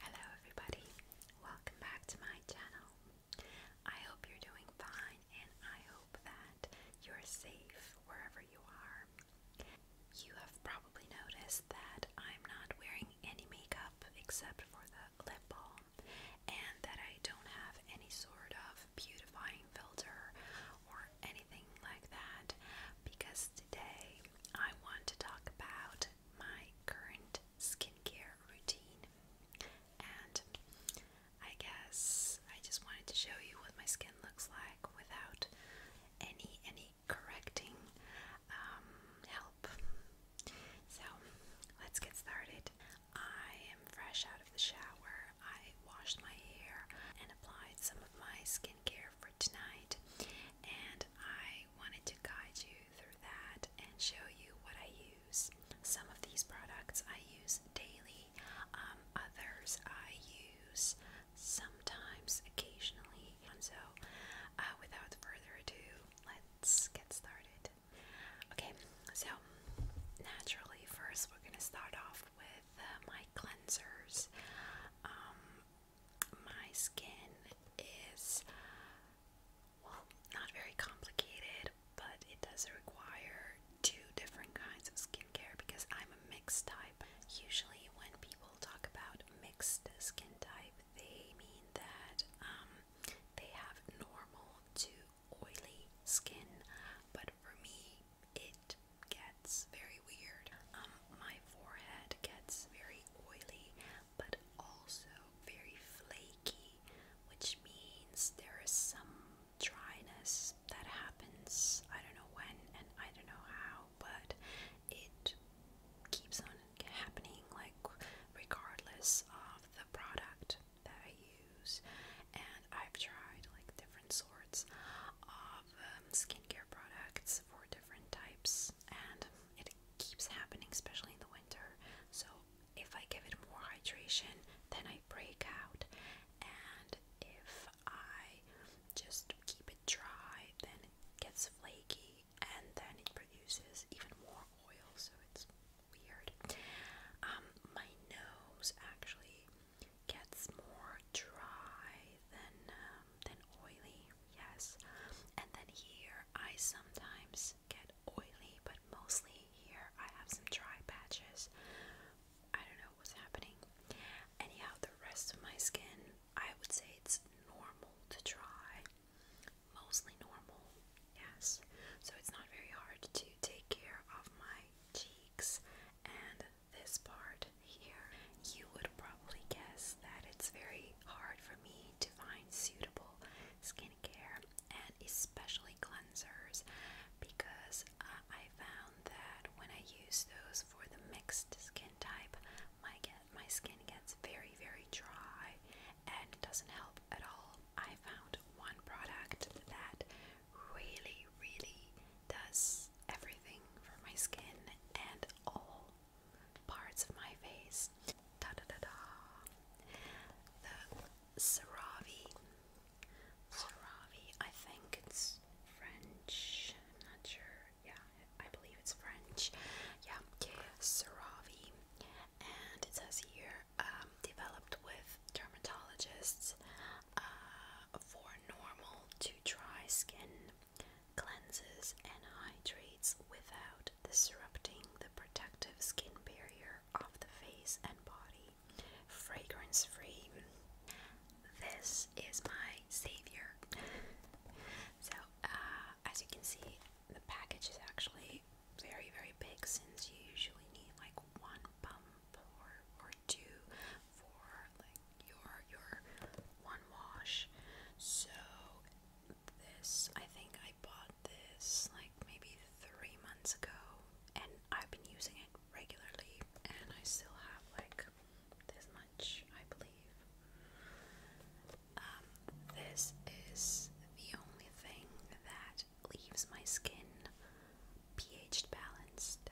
Hello everybody, welcome back to my channel. I hope you're doing fine and I hope that you're safe wherever you are. You have probably noticed that I'm not wearing any makeup except for the lip balm and that I don't have any sort of beautifying filter or anything like that because today I want to talk about my current skincare routine. And I guess I just wanted to show you what my skin looks like without any any correcting um, help. So let's get started. I am fresh out of the shower. I washed my hair and applied some of my skincare tonight, and I wanted to guide you through that and show you what I use. Some of these products I use daily, um, others I use sometimes, occasionally. so, uh, without further ado, let's get started. Okay, so naturally, first we're gonna start off with uh, my cleansers. Um, my skin is well not very complicated, but it does require two different kinds of skincare because I'm a mixed type. Usually, when people talk about mixed skin type, they mean that um, they have normal to oily skin, but for me, it gets very weird. Um, my forehead gets very oily, but also very flaky, which means there is some dryness that happens. I don't know when and I don't know how, but it keeps on happening, like regardless of the product that I use. And I've tried like different sorts of um, skincare products for different different types, and it keeps happening, especially in the winter. So, if I give it more hydration, then I break out, and if I just keep it dry, then it gets flaky, and then it produces even more oil, so it's weird. Um, my nose actually gets more dry than uh, than oily, yes. And then here I sometimes get oily, but mostly here I have some dry patches. I don't know what's happening. Anyhow, the rest of my skin, I would say it's normal to dry. Mostly normal, yes. So it's not very hard to take care of my cheeks and this part here. You would probably guess that it's very hard for me to find suitable skincare and especially cleansers because uh, I found that when I use those for the mixed skin type, my get my skin gets very very dry and doesn't help at all. I found one product that really really does everything for my skin and all parts of my face. Da da da da. The CeraVe. CeraVe, I think it's French. I'm not sure. Yeah, I believe it's French. Yeah, CeraVe. And it says here, um, developed with dermatologists uh, for normal to dry skin, cleanses and hydrates without disrupting the protective skin barrier of the face and body. Fragrance free. This is my savior. so, uh, as you can see, the package is actually very, very big since you usually need like one pump or, or two for like your your one wash. So this I think I bought this like maybe three months ago and I've been using it regularly and I still have like this much I believe. Um, this is the only thing that leaves my skin pH balanced,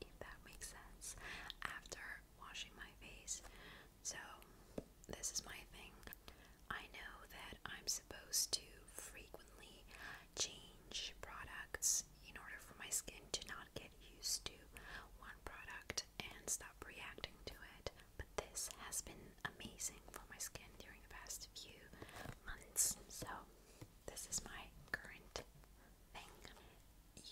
if that makes sense, after washing my face. So, this is my thing. I know that I'm supposed to frequently change products in order for my skin to not get used to one product and stop reacting to it, but this has been amazing for my skin during the past few months. So, this is my current thing.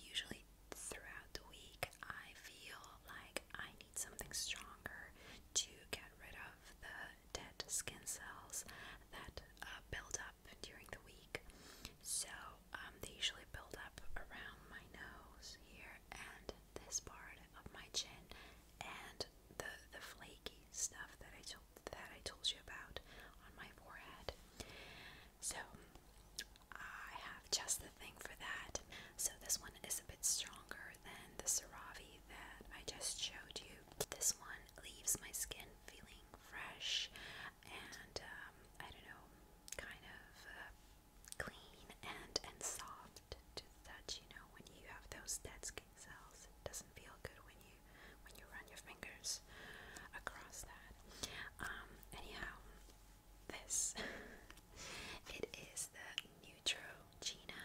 Usually throughout the week, I feel like I need something stronger to get rid of the dead skin cells that uh, build up during the week. So um, they usually build up around my nose here and this part of my chin and the the flaky stuff that I told that I told you about on my forehead. So I have just the thing for that. So this one is a bit stronger than the Cerave that I just showed you. This one leaves my skin feeling fresh and um, I don't know, kind of uh, clean and and soft to touch. You know, when you have those dead skin cells, it doesn't feel good when you when you run your fingers across that. Um, anyhow, this it is the Neutrogena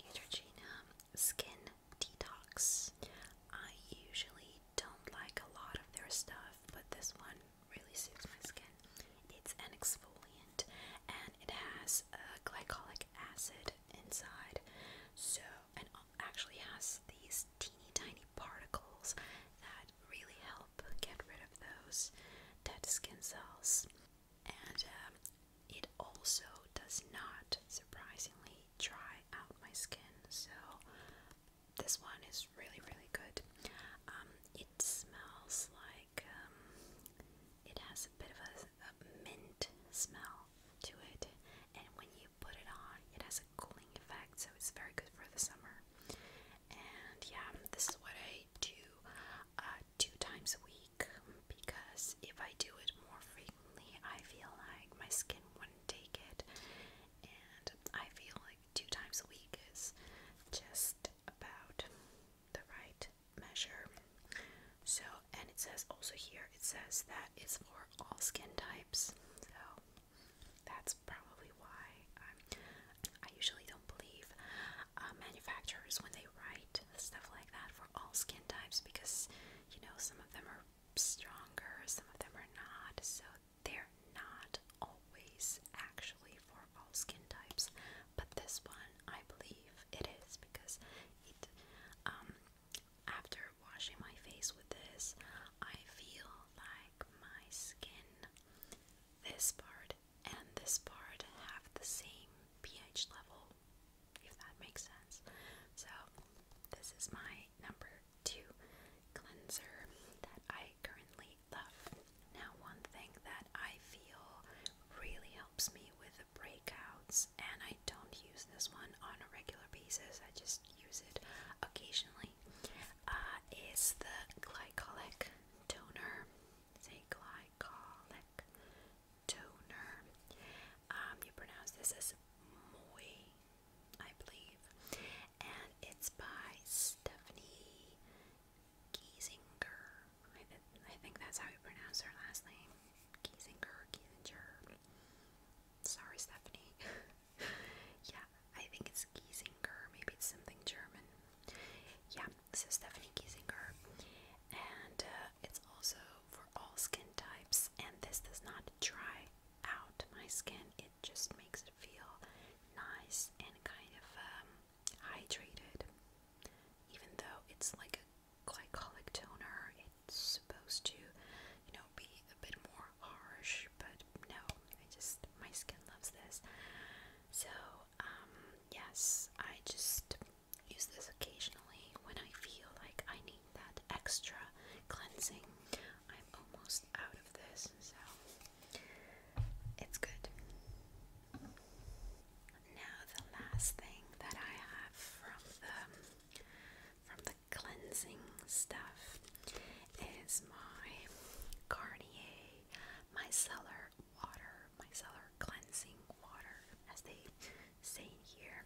Neutrogena Skin Detox. I usually don't like a lot of their stuff, but this one really suits my skin. It's an exfoliant and it has glycolic acid inside. So, it actually has these teeny tiny particles that really help get rid of those dead skin cells. And um, it also does not surprisingly dry out my skin. So, this one is really, really good. Um, it smells like um, it has a bit of a mint smell to it, and when you put it on. It has a cooling effect, so it's very good for the summer. And yeah, this is what I do uh, two times a week because if I do it more frequently, I feel like my skin wouldn't take it. And I feel like two times a week is just about the right measure so, and it says also here, it says that it's for all skin types. So, that's probably why i I usually don't believe uh, manufacturers when they write stuff like that for all skin types because, you know, some of them are stronger, some of them are not. So, they're not always actually for all skin types, but this one I believe it is because it um, after washing my face with this, I feel like my skin, this part and this part, have the same pH level, if that makes sense. So, this is my number two cleanser that I currently love. Now, one thing that I feel really helps me with breakouts, and I don't use this one on a regular basis, I just use it occasionally, uh, is the glycolic toner. It's glycolic toner. Um, you pronounce this as Moy, I believe, and it's by Stephanie Giesinger. I think that's how you pronounce her last name. Kiesinger, Kiesinger. Sorry, Stephanie. yeah, I think it's Kiesinger. Maybe it's something German. Yeah, so Stephanie Kiesinger. And uh, it's also for all skin types. And this does not dry out my skin, it just makes it feel nice and kind of um, hydrated. Even though it's like a glycolic toner, it's supposed to, you know, be a bit more harsh, but no, I just, my skin loves this. So, um, yes, I just use this occasionally when I feel like I need that extra cleansing. I'm almost out of this, so it's good. Now, the last thing that I have from the from the cleansing stuff is my Garnier Micellar Water, Micellar Cleansing Water, as they say here.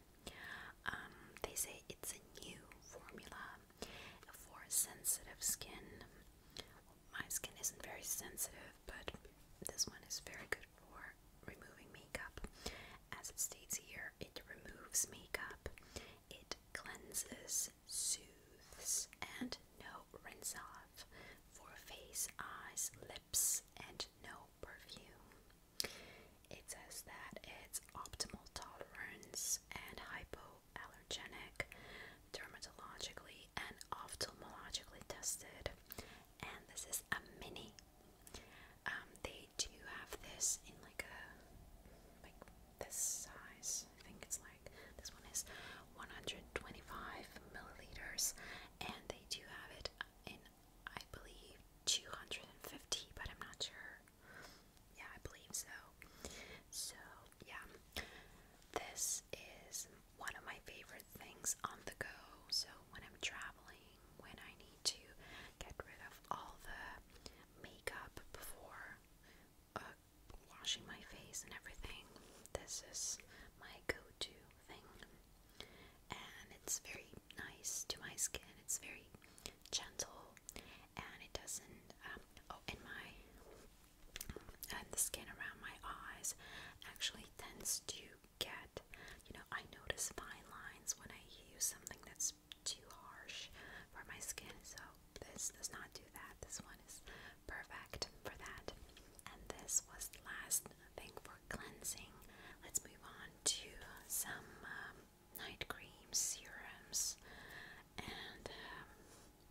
Um, they say it's a new formula for sensitive skin. my skin isn't very sensitive, but this one is very good for removing makeup. As it states here, it removes makeup, it cleanses, soothes, and no rinse off for face, eyes, lips, and no perfume. It says that it's optimal tolerance and hypoallergenic, dermatologically and ophthalmologically tested. And this is a mini um, they do have this in like a like this size. I think it's like this one is 125 milliliters, and they do have it in I believe 250, but I'm not sure. Yeah, I believe so. So yeah, this is one of my favorite things on the go. So when I'm traveling when I need to get rid of all the makeup before uh, washing my face and everything. This is my go to thing. And it's very nice to my skin, it's very gentle and it doesn't. Um, oh, and my. And the skin around my eyes actually tends to get. You know, I notice fine lines when I use something that's too harsh for my skin, so this does not do that. This one is perfect for that. And this was the last thing for cleansing. Let's move on to some um, night creams, serums, and um,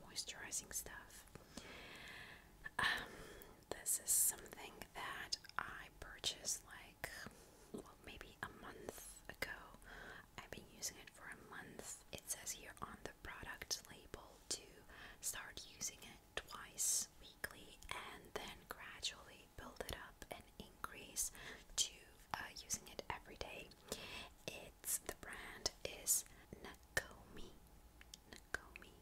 moisturizing stuff. Um, this is something that I purchased like, well, maybe a month ago. I've been using it for a month. It says here on the product label to start using it twice weekly and then gradually build it up and increase to uh, using it every day. It's the brand is Nakomi. Nakomi.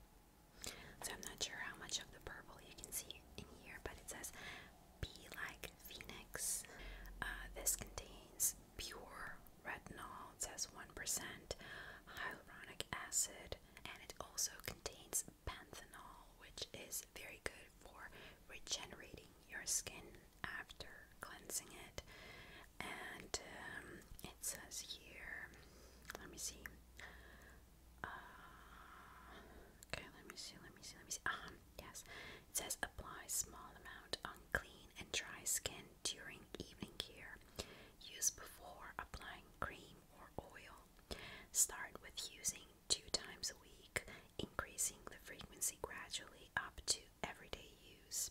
So I'm not sure how much of the purple you can see in here, but it says Be like Phoenix. Uh, this contains pure retinol, it says 1%, hyaluronic acid, and it also contains panthenol, which is very good for regenerating your skin after cleansing it. And um, it says here, let me see. Uh, okay, let me see, let me see, let me see. Um, yes, it says apply small amount on clean and dry skin during evening care. Use before applying cream or oil. Start with using two times a week, increasing the frequency gradually up to everyday use.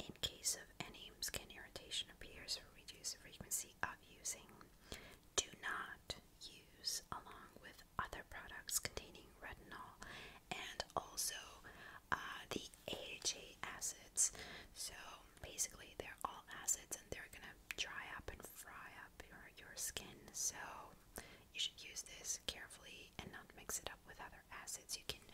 In case of any skin irritation appears, reduce the frequency using. Do not use along with other products containing retinol and also uh, the AHA acids. So basically, they're all acids and they're gonna dry up and fry up your, your skin. So you should use this carefully and not mix it up with other acids. You can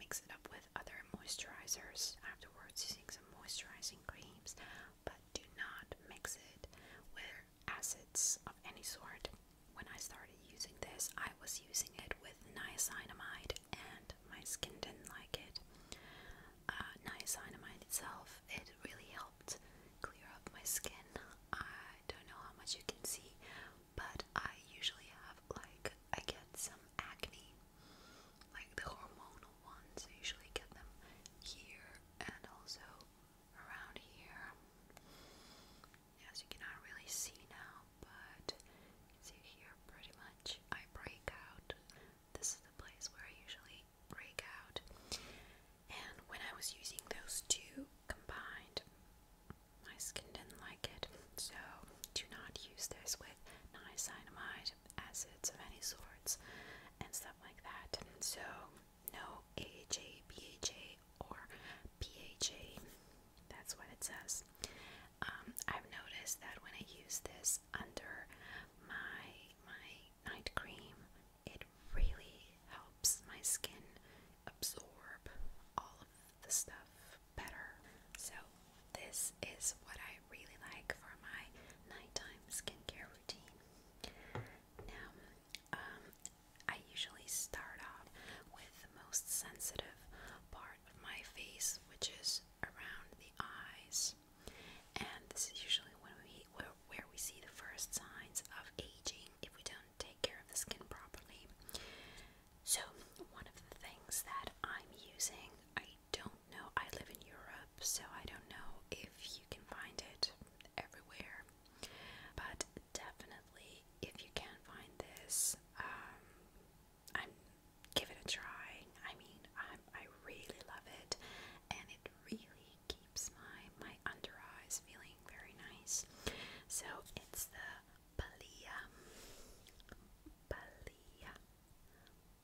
mix it up with other moisturizers afterwards using some moisturizing creams, but do not mix it with acids of any sort. When I started using this, I was using it with niacinamide and my skin didn't like it. Uh, niacinamide itself, it really helped clear up my skin. I don't know how much you can see, but I usually have like, I get some acne like the hormonal ones, I usually get them here and also around here. As you cannot really see now, but you see here pretty much I break out. This is the place where I usually break out. And when I was using those two combined, my skin didn't like it. So do not use this with niacinamide acids of any sorts and stuff like that. And so, no AHA, BHA, or PHA. That's what it says. Um, I've noticed that when I use this under my my night cream, it really helps my skin absorb all of the stuff better. So, this is what I really like for my nighttime skincare routine. Now, um, I usually start off with the most sensitive part of my face, which is around the eyes, and this is usually when we where, where we see the first signs of aging if we don't take care of the skin properly. So, one of the things that I'm using, I don't know, I live in Europe, so I don't know if you can find it everywhere, but definitely if you can find this, um, I'm give it a try. I mean, i I really love it, and it really keeps my my under eyes feeling very nice. So it's the Balia, Balia,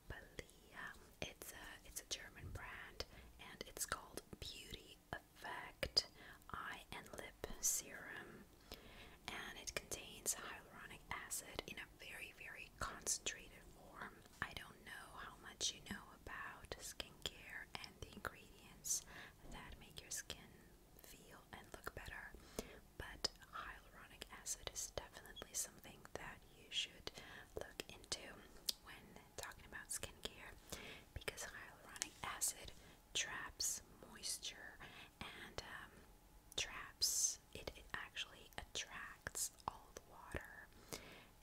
Balia. It's a it's a German brand, and it's called Beauty Effect Eye and Lip Serum, and it contains hyaluronic acid in a very very concentrated form. I don't know how much you know about skincare and the ingredients that make your skin feel and look better. But hyaluronic acid is definitely something that you should look into when talking about skincare because hyaluronic acid traps moisture and um, traps, it, it actually attracts all the water,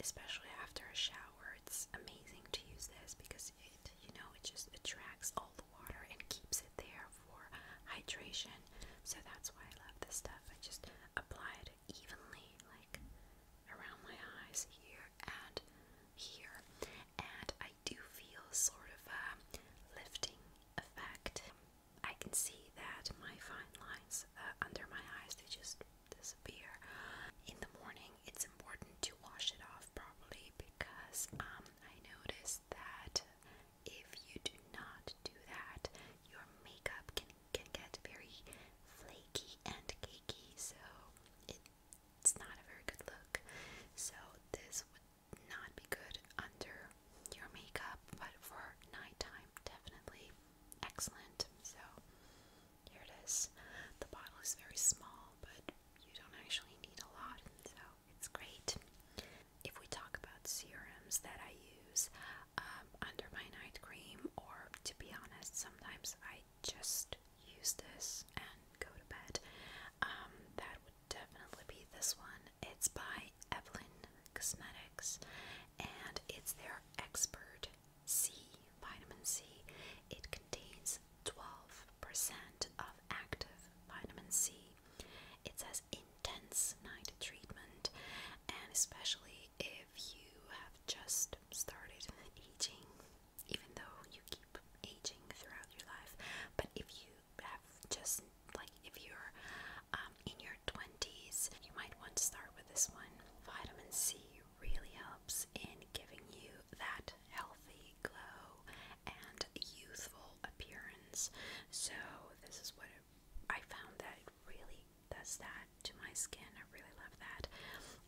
especially after a shower. It's amazing to use this because it, you know, it just attracts all water and keeps it there for hydration. So that's why I love this stuff. I just apply it evenly, like around my eyes, here and here. And I do feel sort of a lifting effect. I can see that my fine lines uh, under my eyes, they just disappear. In the morning, it's important to wash it off properly because um, I noticed that if you do not do that, your makeup can can get very flaky and cakey, so it's not a very good look. So this would not be good under your makeup, but for nighttime, definitely excellent. So here it is. The bottle is very small, but you don't actually need a lot, so it's great. If we talk about serums that I use um, under my night cream, or to be honest, sometimes I just use this and go to bed, um, that would definitely be this one. It's by Evelyn Cosmetics, and it's their Expert C Vitamin C. It contains 12 of active vitamin C. It says intense night treatment, and especially if you have just started aging, even though you keep aging throughout your life, but if you have just like if you're um, in your 20s, you might want to start with this one. Vitamin C really helps in giving you that healthy glow and youthful appearance. So this is what I found that it really does that to my skin. I really love that.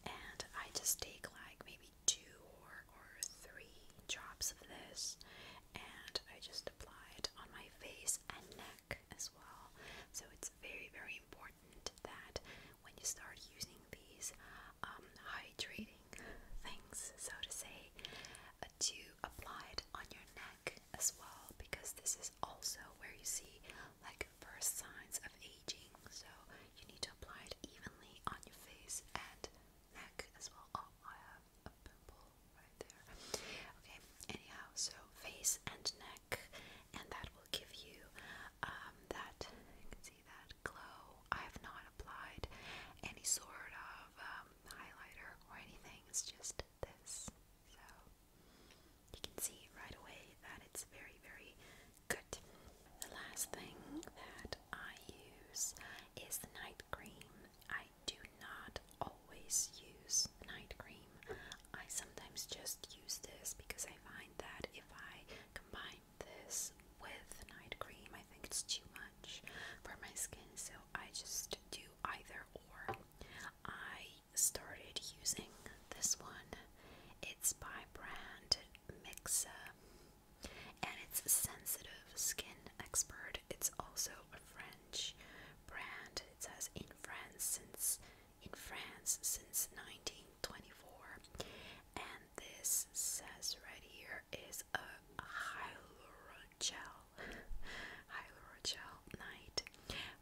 And I just take like maybe two or, or three drops of this and I just apply it on my face and neck as well. So it's very, very important that when you start using these um, hydrating things, so to say, uh, to apply it on your neck as well, because this is also where you see like first signs of aging. So you need to apply it evenly on your face and neck as well. Oh, I have a pimple right there. Okay, anyhow, so face and neck, and that will give you um, that. You can see that glow. I have not applied any sort of um, highlighter or anything. It's just this. So you can see right away that it's very, very good. The last thing that I use is the night cream. I do not always use night cream. I sometimes just use this because I find that if I combine this with night cream. I think it's too much for my skin, so I just do either or. I started using this one. It's by brand Mixa and it's sensitive skin expert. It's also a French brand. It says in France since in France since 1924 and this says right here is a hyaluronic gel hyaluronic gel night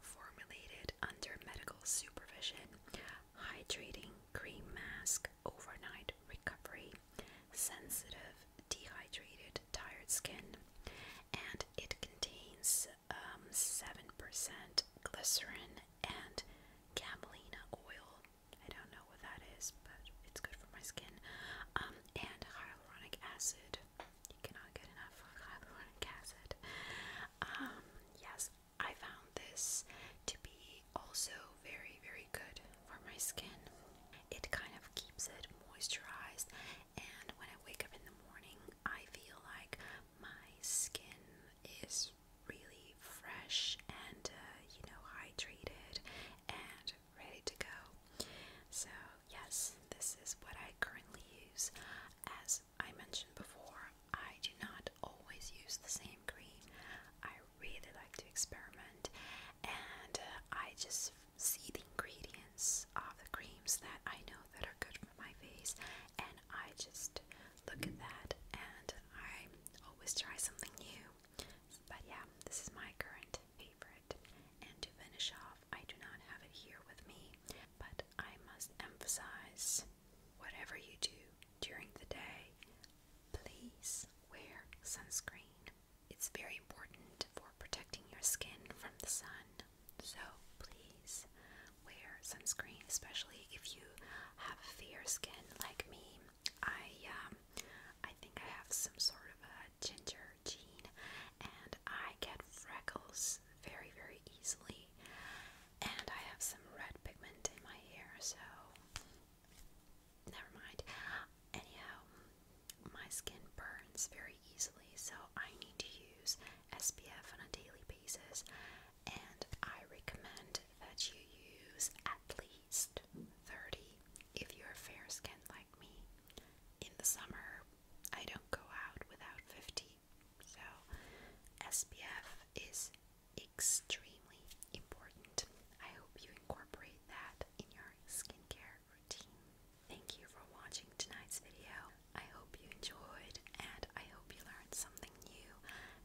formulated under medical supervision hydrating cream mask overnight recovery sensitive dehydrated tired skin and it contains 7% um, glycerin and camelina oil I don't know what that is, but it's good for my skin. Um, and hyaluronic acid. You cannot get enough hyaluronic acid. Um, yes, I found this to be also very, very good for my skin. It kind of keeps it moisturized, and when I wake up in the morning, I feel like my skin is really fresh and uh, you know hydrated and ready to go. So yes, this is what I currently use. As I mentioned before, I do not always use the same cream. I really like to experiment and uh, I just see the ingredients of the creams that I know that are good for my face and I just look at that and I always try something new. But yeah, this is my current favorite. And to finish off, I do not have it here with me, but I must emphasize whatever you do during the day, please wear sunscreen. It's very important for protecting your skin from the sun. So please wear sunscreen, especially if you have fair skin like me. I um, I think I have some sort of a ginger gene, and I get freckles very very easily. And I have some red pigment in my hair, so never mind. Anyhow, my skin burns very easily, so I need to use SPF on a daily basis and I recommend that you use at least 30 if you're fair skinned like me. In the summer, I don't go out without 50, so SPF is extremely important. I hope you incorporate that in your skincare routine. Thank you for watching tonight's video. I hope you enjoyed and I hope you learned something something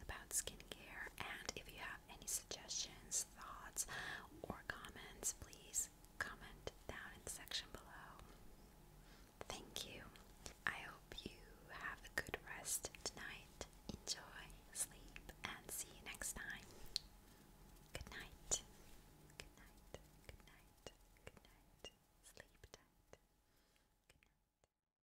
about skincare. And if you have any suggestions, thoughts, or comments, please comment down in the section below. Thank you. I hope you have a good rest tonight. Enjoy, sleep, and see you next time. Good night. Good night. Good night. Good night. Sleep tight. Good night.